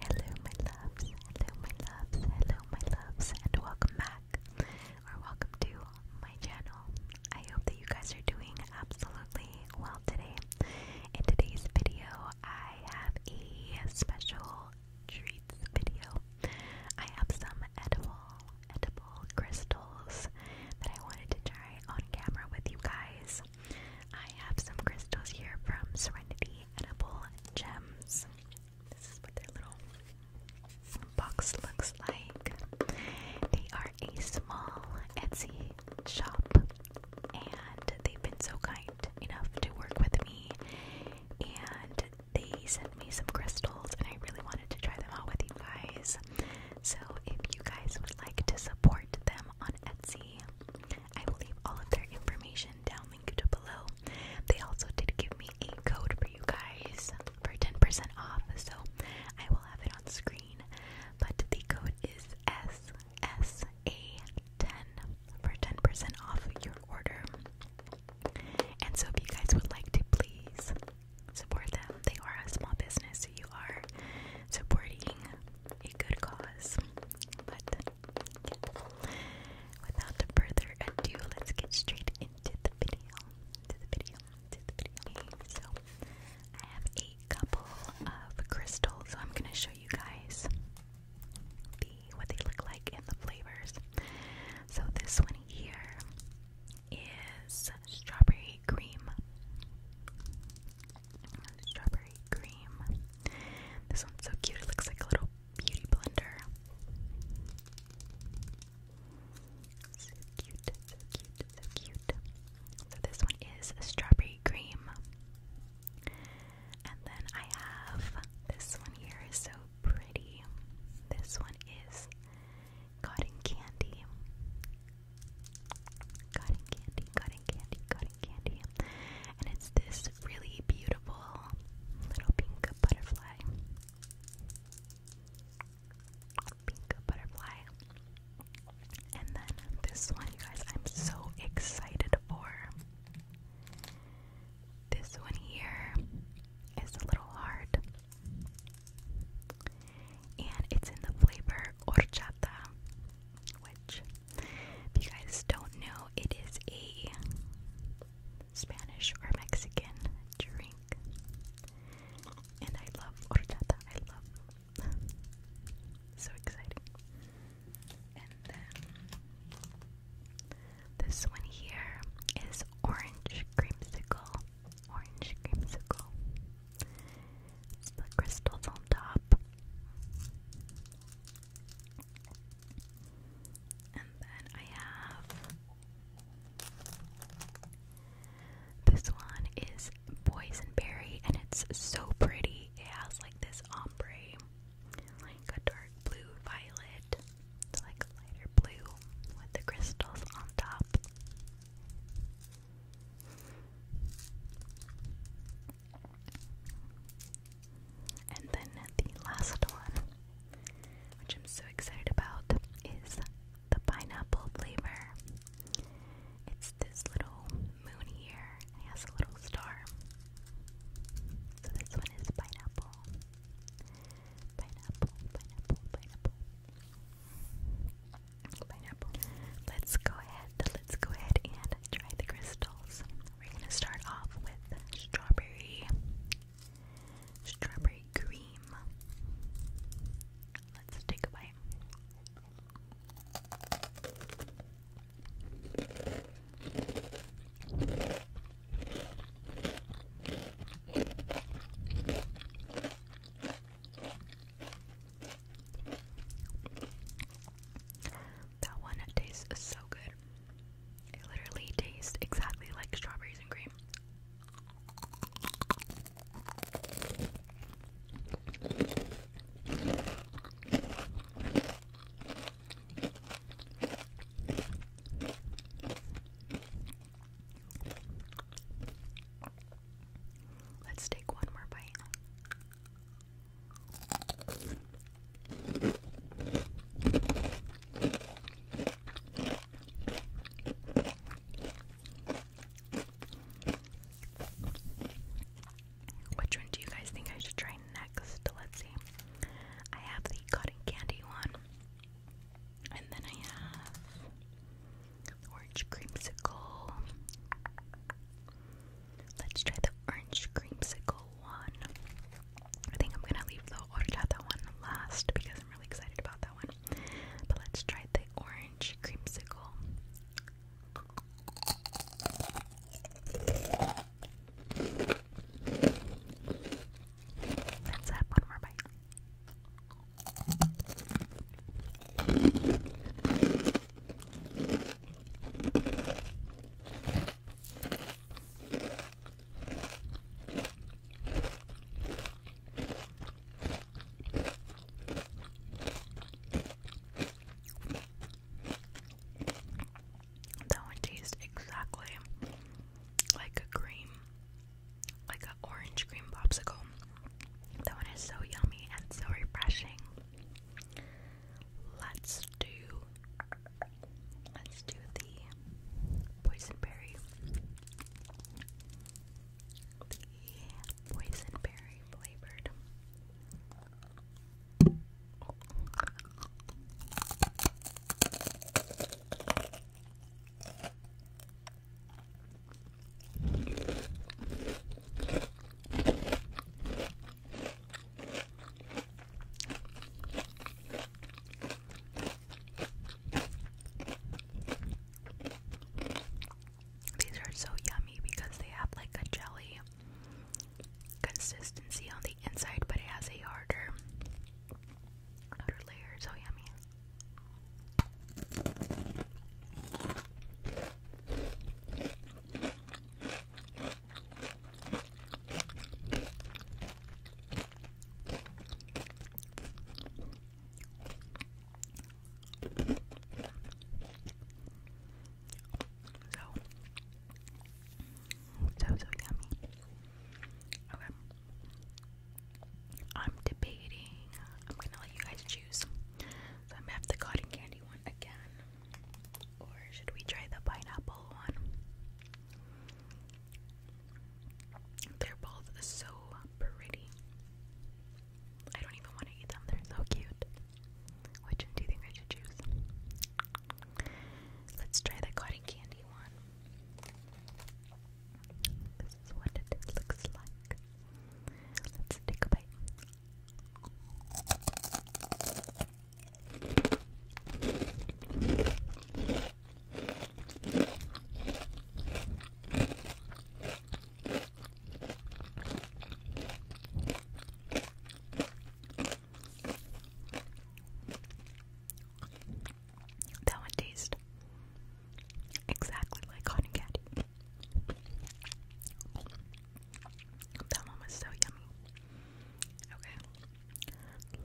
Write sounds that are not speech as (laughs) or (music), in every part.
Hello, my loves. Hello, my loves. Hello, my loves, and welcome back or welcome to my channel. I hope that you guys are doing absolutely well today. In today's video, I have a special treats video. I have some edible, edible crystals that I wanted to try on camera with you guys. I have some crystals here from Serenity edible gems. This is what their little box looks like. They are a small Etsy shop, and they've been so kind enough to work with me. And they sent me some crystals, and I really wanted to try them out with you guys. So, if you guys would like to support them on Etsy, I will leave all of their information down linked below. They also did give me a code for you guys for 10% off, so I will have it on screen. But the code is SSA10 for 10% off your order. And so if you guys would like to please support them, they are a small business, so you are supporting a good cause. But Without further ado, let's get straight into the video. To the video. To the video. so I have a couple of crystals, so I'm gonna show you guys the what they look like and the flavors. So this one here is strawberry cream. Strawberry cream. This one's so cute. It looks like a little Beauty Blender. So cute, so cute, so cute. So this one is strawberry cream. And then I have this one here is so pretty. This one is cotton candy. Cotton candy, cotton candy, cotton candy. And it's this really beautiful little pink butterfly. Pink butterfly. And then this one, you guys, I'm so excited for. This one here is a little hard. And it's in the flavor orchata, which if you guys don't know, it is a Spanish or Mexican drink. And I love horchata. I love (laughs) so exciting. And then this one here is orange creamsicle. Orange creamsicle. the crystals on top. And then I have this one is boysenberry and it's so pretty. It has like this ombre, like a dark blue violet, it's like a lighter blue with the crystals on top. And then the last one, which I'm so excited about, is the pineapple flavor. It's this little moon here. has a little star. So this one is pineapple. Pineapple, pineapple, pineapple. Pineapple. Let's go ahead. Let's go ahead and try the crystals. We're gonna start off with strawberry, strawberry cream. Let's take a bite. That one tastes so good. It literally tastes exactly like strawberries and cream. Let's take one more bite. Which one do you guys think I should try next? Let's see. I have the cotton candy one, and then I have orange creamsicle. Let's try the orange creamsicle one. I think I'm gonna leave the that one last because I'm really excited about that one. But let's try the orange creamsicle. Let's one more bite. That one tastes exactly like a cream, like an orange cream popsicle. That one is so yummy and so refreshing. Let's do Let's do the boysenberry. The boysenberry flavored. These are so yummy because they have like a jelly consistency on the inside, but it has a harder outer layer. So yummy. So, so, so yummy. Okay. I'm debating. I'm gonna let you guys choose. So I'm going the cotton candy one again. Or should we try the pineapple one? They're both so pretty. I don't even want to eat them, they're so cute. Which do you think I should choose? Let's try the cotton candy one. This is what it looks like. Let's take a bite. That one tastes exactly like cotton candy. That one was so yummy. Okay.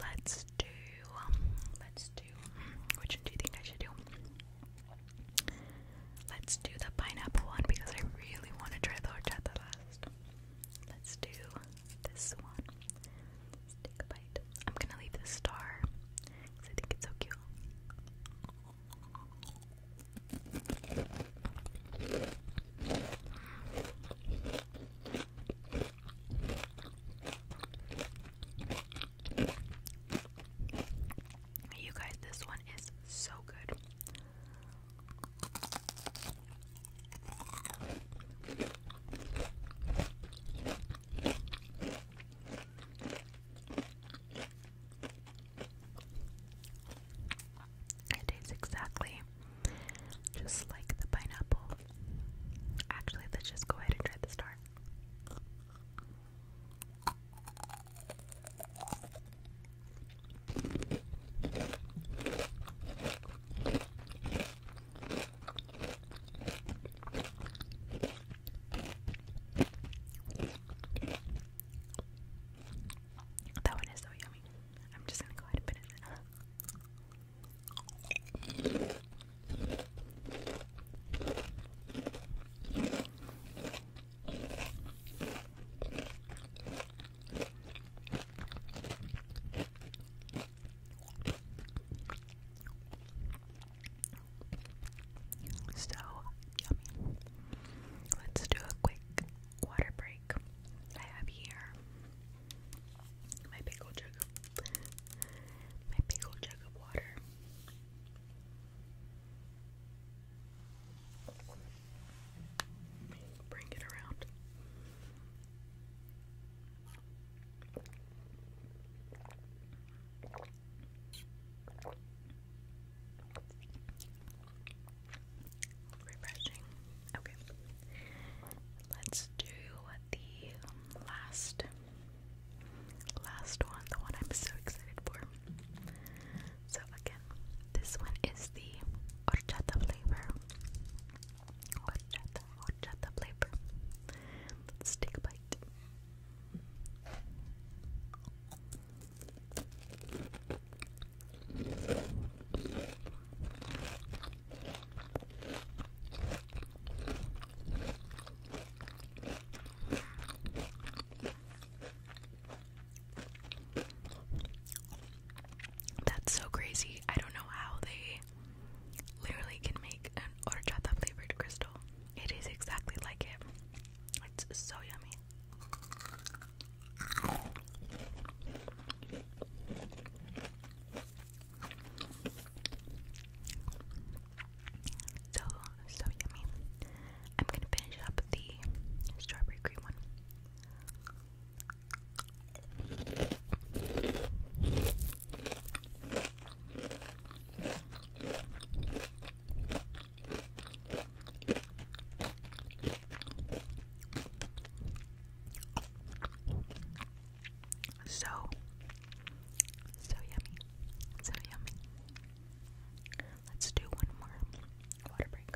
Let's do. Um, let's do. Which one do you think I should do? Let's do the pineapple one because I really want to try the horchata last. Let's do this one. Let's take a bite. I'm gonna leave the star because I think it's so cute. You guys, this one is so good. It tastes exactly just like the pineapple. Actually, let's just go ahead and try the star. That one is so yummy. I'm just gonna go ahead and put it in. So yummy. Let's do a quick water break. I have here my pickle jug my pickle jug of water. Bring it around refreshing. Okay. Let's do the last last one, the one I'm so excited for. So again, this one is the horchata flavor. Horchata, horchata flavor. Let's take a bite. That's so crazy. I don't know how they literally can make an horchata flavored crystal. It is exactly like it. It's so yummy. So, so yummy. I'm gonna finish up the strawberry cream one. So, so yummy, so yummy. Let's do one more water break.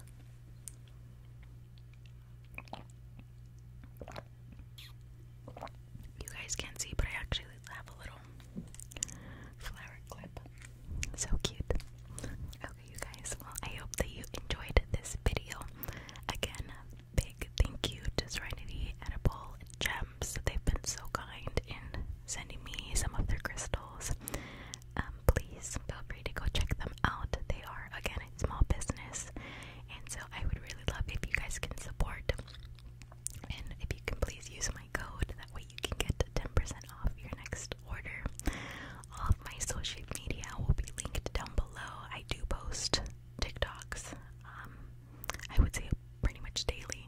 You guys can't see, but I actually have a little flower clip. So cute. Okay, you guys. Well, I hope that you enjoyed this video. Again, big thank you to Serenity Edible Gems. They've been so kind in sending me some of their crystals. Um, please feel free to go check them out. They are, again, a small business, and so I would really love if you guys can support. And if you can please use my code, that way you can get 10% off your next order my social media will be linked down below. I do post TikToks, um, I would say pretty much daily.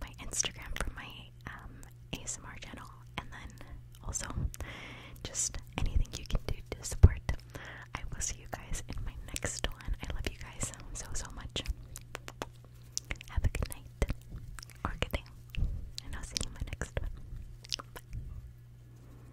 My Instagram from my um, ASMR channel, and then also just anything you can do to support. I will see you guys in my next one. I love you guys so, so much. Have a good night or good day, and I'll see you in my next one. Bye.